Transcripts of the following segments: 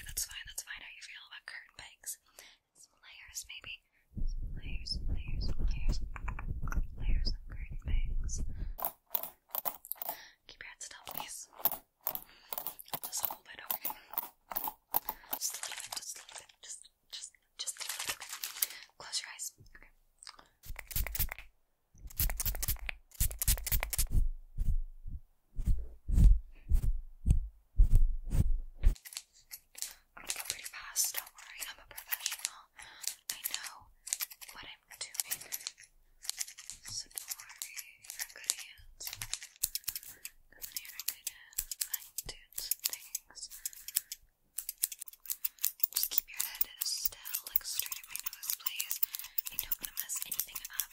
That's fine, that's fine. How you feel about curtain bangs? Some layers, maybe. Some layers, layers, layers. Layers of curtain bangs. Keep your head still, please. Just a little bit, okay? Just a little bit, just a little bit. Just, just, just okay? Close your eyes, Okay, I'm going pretty fast, don't worry, I'm a professional. I know what I'm doing. So don't worry, you're in good hands. And you're gonna do things. Just keep your head still, look straight at my nose, please. I don't want to mess anything up.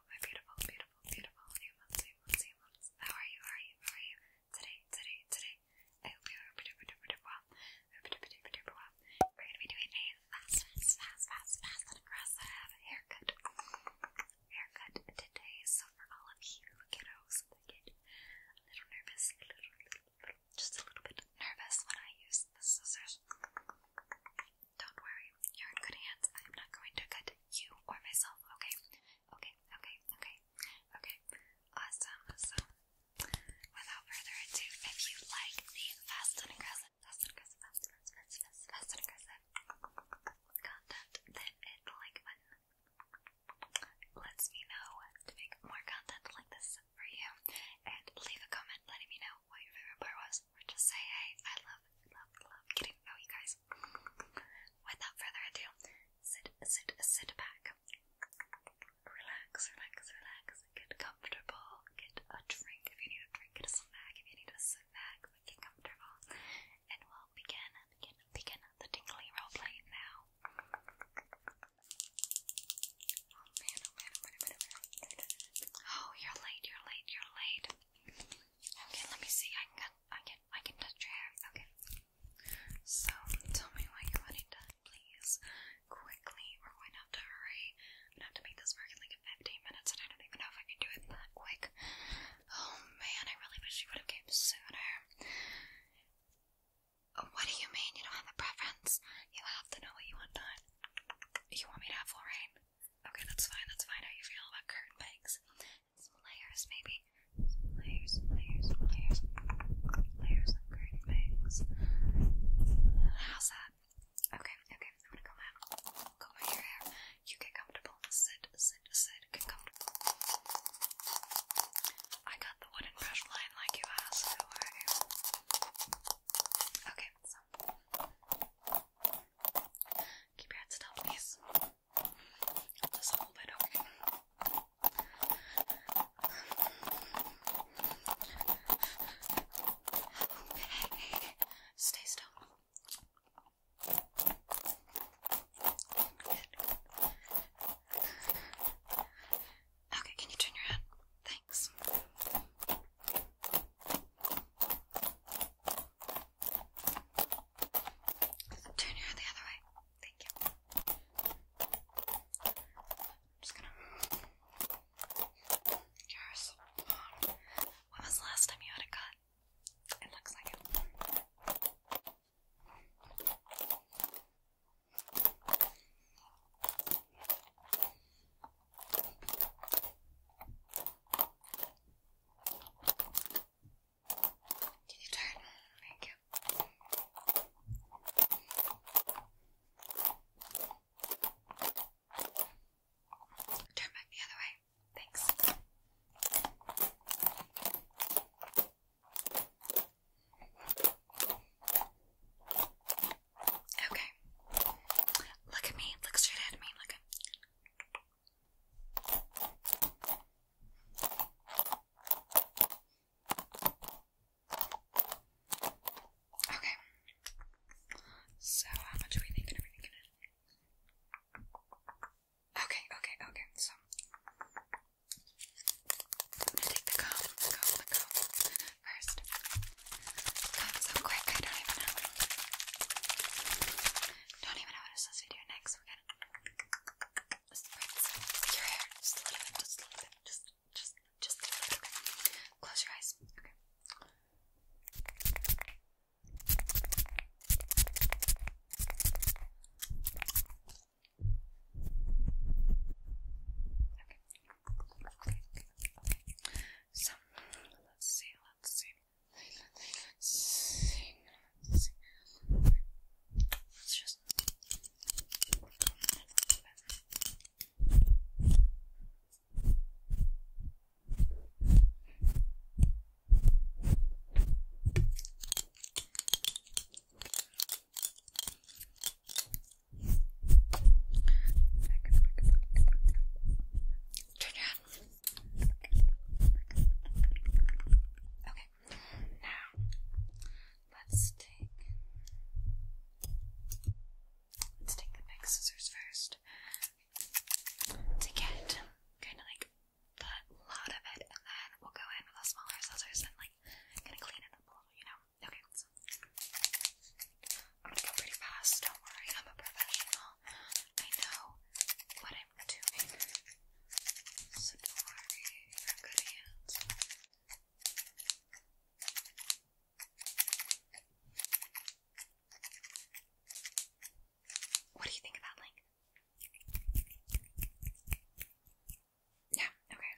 my beautiful, beautiful, beautiful new months, new How are you? How are you? How are you? Today, today, today. I hope you are super, super, super well. Super, super, super, super well. We're going to be doing a fast, fast, fast, fast, fast and aggressive haircut. Haircut today. So for all of you kiddos a little nervous, just a little bit nervous when I use the scissors. Don't worry, you're in good hands. I'm not going to cut you or myself, okay? Okay, okay, okay, okay. Awesome. So, without further ado, if you like the fast and aggressive, fast and aggressive, fast and aggressive, content, then hit the like button. Lets me know to make more content like this for you, and leave a comment letting me know what your favorite part was, or just say, hey, I love, love, love getting to know you guys. Without further ado, sit, sit, sit back. Relax, relax, relax. Get comfortable. Get a drink if you need a drink. Get a snack if you need a snack. But get comfortable. And we'll begin, begin, begin the tingly roleplay now. Oh man, oh man, oh man, oh man, oh you're late, you're late, you're late. Okay, let me see. I can, I can, I can touch your hair. Okay. So, tell me what you're wanting done, please. Quickly, we're going to have to hurry. i have to make this work in like 15 minutes, and I don't even know if I can do it that quick. Oh man, I really wish you would have came sooner. What do you mean you don't have a preference? You have to know what you want done. You want me to have full Okay, that's fine, that's fine. How you feel about curtain pegs? Some layers, maybe. Some layers, layers, layers. Layers of curtain pegs. How's that? Okay, okay, I'm gonna comb out. Comb out your You get comfortable. Sit, sit, sit. Get comfortable. I got the wooden brush line like you asked, Okay, so keep your head still, please. Just a little bit, okay. stay still. Good. Okay, can you turn your head? Thanks. Turn your head the other way. Thank you. I'm just gonna. You're so When was the last time you had a cut? It looks like it. Can you turn on the Turn back the other way. Thanks. Okay. Look at me. Look straight ahead at me. Look at Okay. So how much are we thinking everything Okay, okay, okay. So I'm gonna take the comb, the comb, the comb first. so quick, I don't even know. Don't even know what to do next. We're your hair just a little bit, just a little bit, just, just, just Okay. Close your eyes. Okay. Okay. Okay. So let's see, let's see. Let's see. Let's see. Let's just Okay. Okay, now let's take let's take the big scissors first to get kind of like the lot of it, and then we'll go in with the smaller scissors and like kind of clean it up a little, you know. Okay, so I'm gonna go pretty fast. Don't worry, I'm a professional. I know what I'm doing. So don't worry, you're in good hands. What do you think of link? Yeah, okay.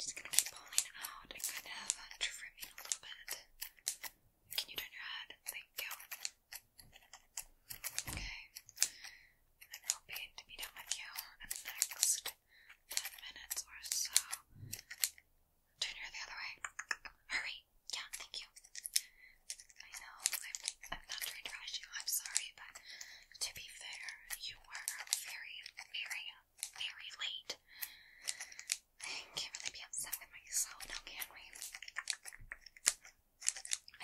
just gonna pulling out and kind of trimming a little bit. Can you turn your head? Thank you. Okay. I'm hoping to be done with you in the next 10 minutes or so. Turn your the other way. Hurry. Yeah, thank you. I know, I'm, not trying to rush you, I'm sorry, but to be fair, you were very, very, very late. I can't really be upset with myself can we?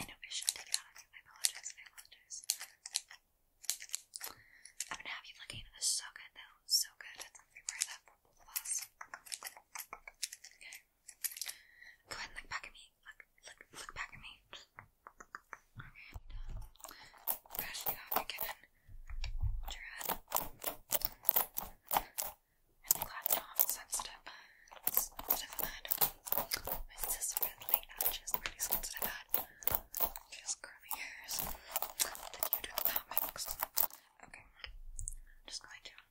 I know I shouldn't take it I apologize, I apologize. I'm gonna have you looking at this so good though, so good. Okay. Go ahead and look back at me. Look, look, look back at me. Okay, brush you off again. Hold your head. Really glad Tom sent stuff. Stuff in My sister really anxious, really sensitive head. curly hairs. Then you do the comics. Okay. I'm just going to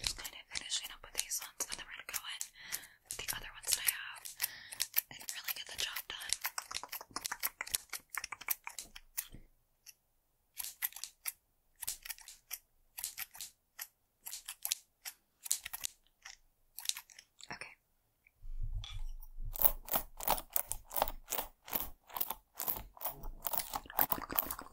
Just kind of finishing up with these ones, and then we're gonna go in with the other ones that I have and really get the job done. Okay.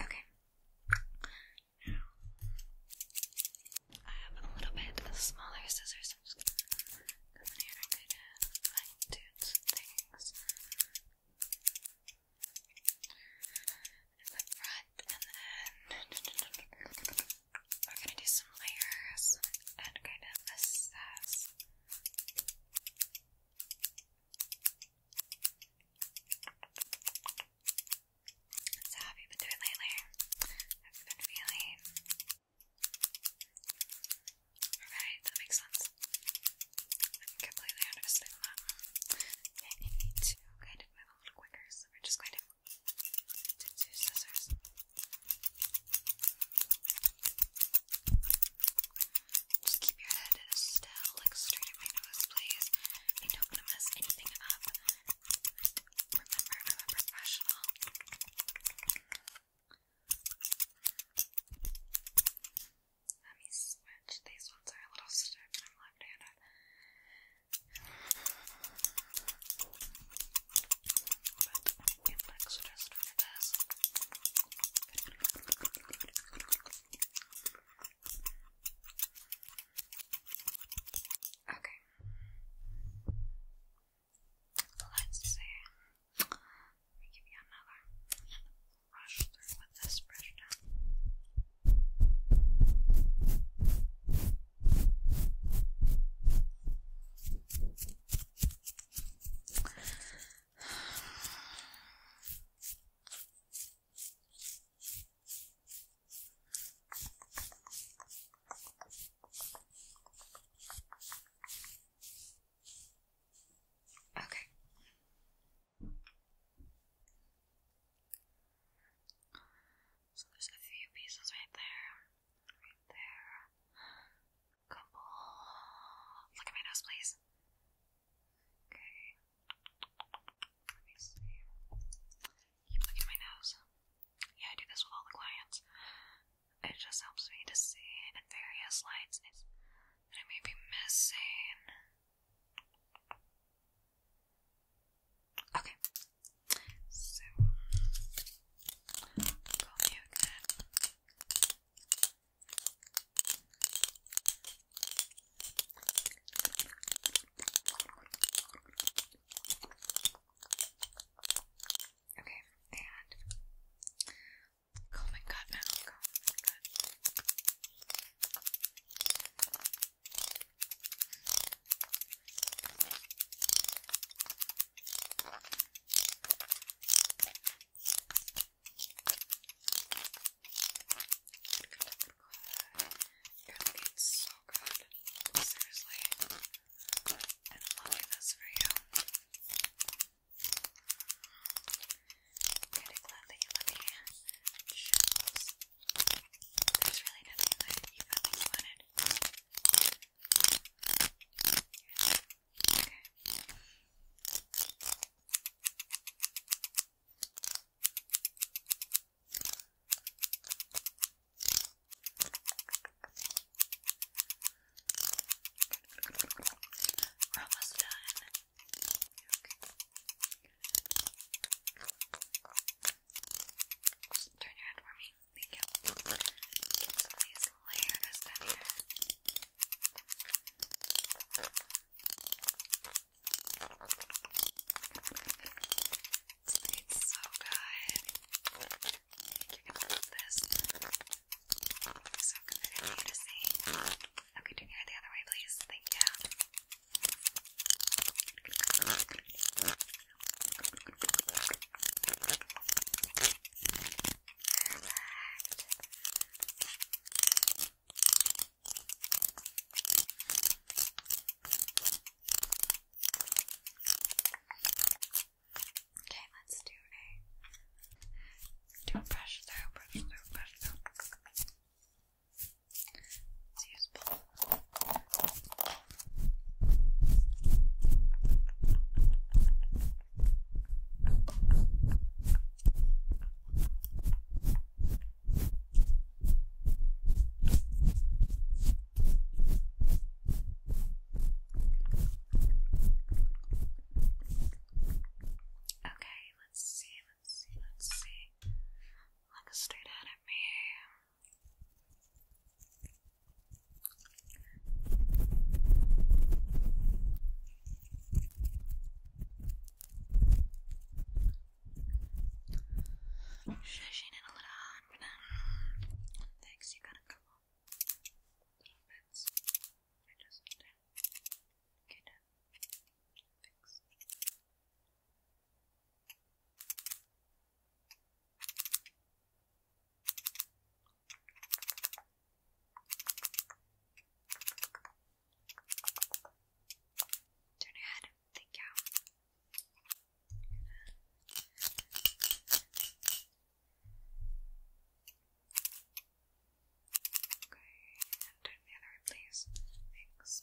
Okay. Now, I have a little bit smaller scissors. I'm just gonna kind of fine some things in the front, and then we're gonna do some layers and kind of assess. So how have you been doing lately? How have you been feeling? Alright, that makes sense. I completely understand that. And you need to kind of move a little quicker, so we're just going to do scissors. Just keep your head still, look straight at my nose, please. I don't want to mess anything up. remember, I'm a professional. Let me switch. These ones are a little stiff, and I'm left handed but Okay. Let's see. Let me you another brush through with this brush now. Okay. So there's a few pieces right there, right there, couple. Look at my nose, please. Okay. Let me see. Keep looking at my nose. Yeah, I do this with all the clients. It just helps me to see in various lights that I may be missing. Okay. Call me again. Okay, and comb oh and cut now. Comb and cut. It so good. Seriously. I'm loving this for you. Kind glad that you let me show really nothing Okay. We're almost done. Okay. Turn your head for me. Thank you. Get these layers down here. It's so good. you're going this. so committed Okay, turn your head the other way, please. Thank you. Okay, let's do a do a brush through, brush Okay, let's see, let's see, let's see. Look straight at me. Shushing it a little hard for them. Thanks, you got a couple little bits. I just need to Turn your head. Thank you. Okay, turn the other way, please. Thanks.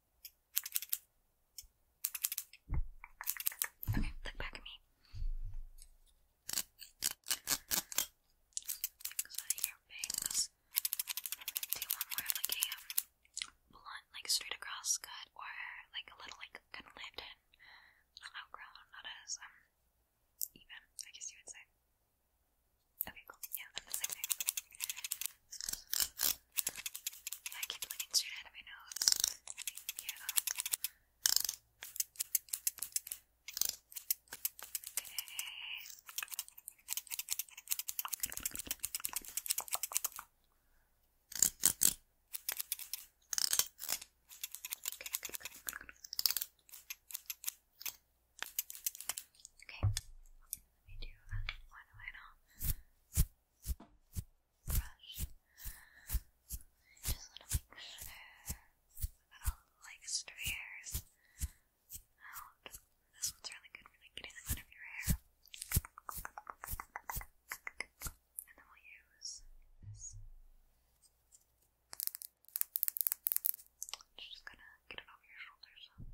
Okay, look back at me. Because I hear bangs. Do one more of um, blunt, like straight across cut, or like a little, like kind of lived outgrown, not as um, even. I guess you would say. Okay, cool. Yeah, the same I keep looking straight of my nose. Thank you. Okay. Okay, good, Okay, let me do uh, one final brush. Just want to make sure that all like extra This one's really good for like getting them out of your hair. And then we'll use this. just gonna get it over your shoulder. Just gonna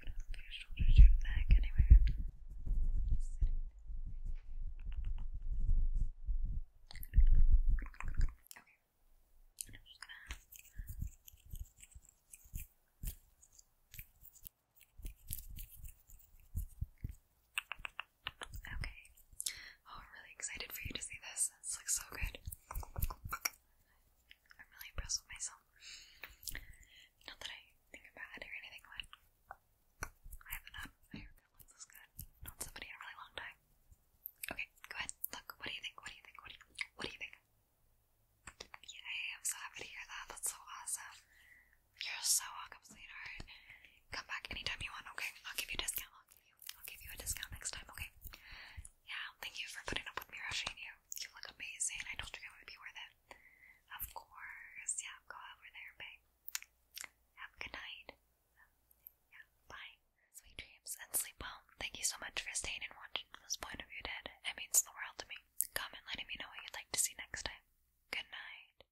go down from your shoulders to your back, anywhere. Just okay. And I'm just gonna. Okay, Okay. Oh, I'm really excited for you to see this. This looks so good. I'm really impressed with myself. Not that I think I'm bad or anything, but I haven't had a haircut looks good. Not somebody in a really long time. Okay, go ahead. Look, what do you think? What do you think? What do you, think? Yay, I'm so happy to hear that. That's so awesome. You're so awesome, sweetheart. Come back anytime you want, okay? I'll give you a discount. I'll give you, I'll give you a discount next time, okay? Yeah, thank you for putting up with me rushing you. You look amazing. I told you it would be worth it. Of course. Yeah, go over there, babe. Have good night. Yeah, bye. Sweet dreams and sleep well. Thank you so much for staying and watching this point of view, Dad. It means the world to me. Comment letting me know what you'd like to see next time. Good night.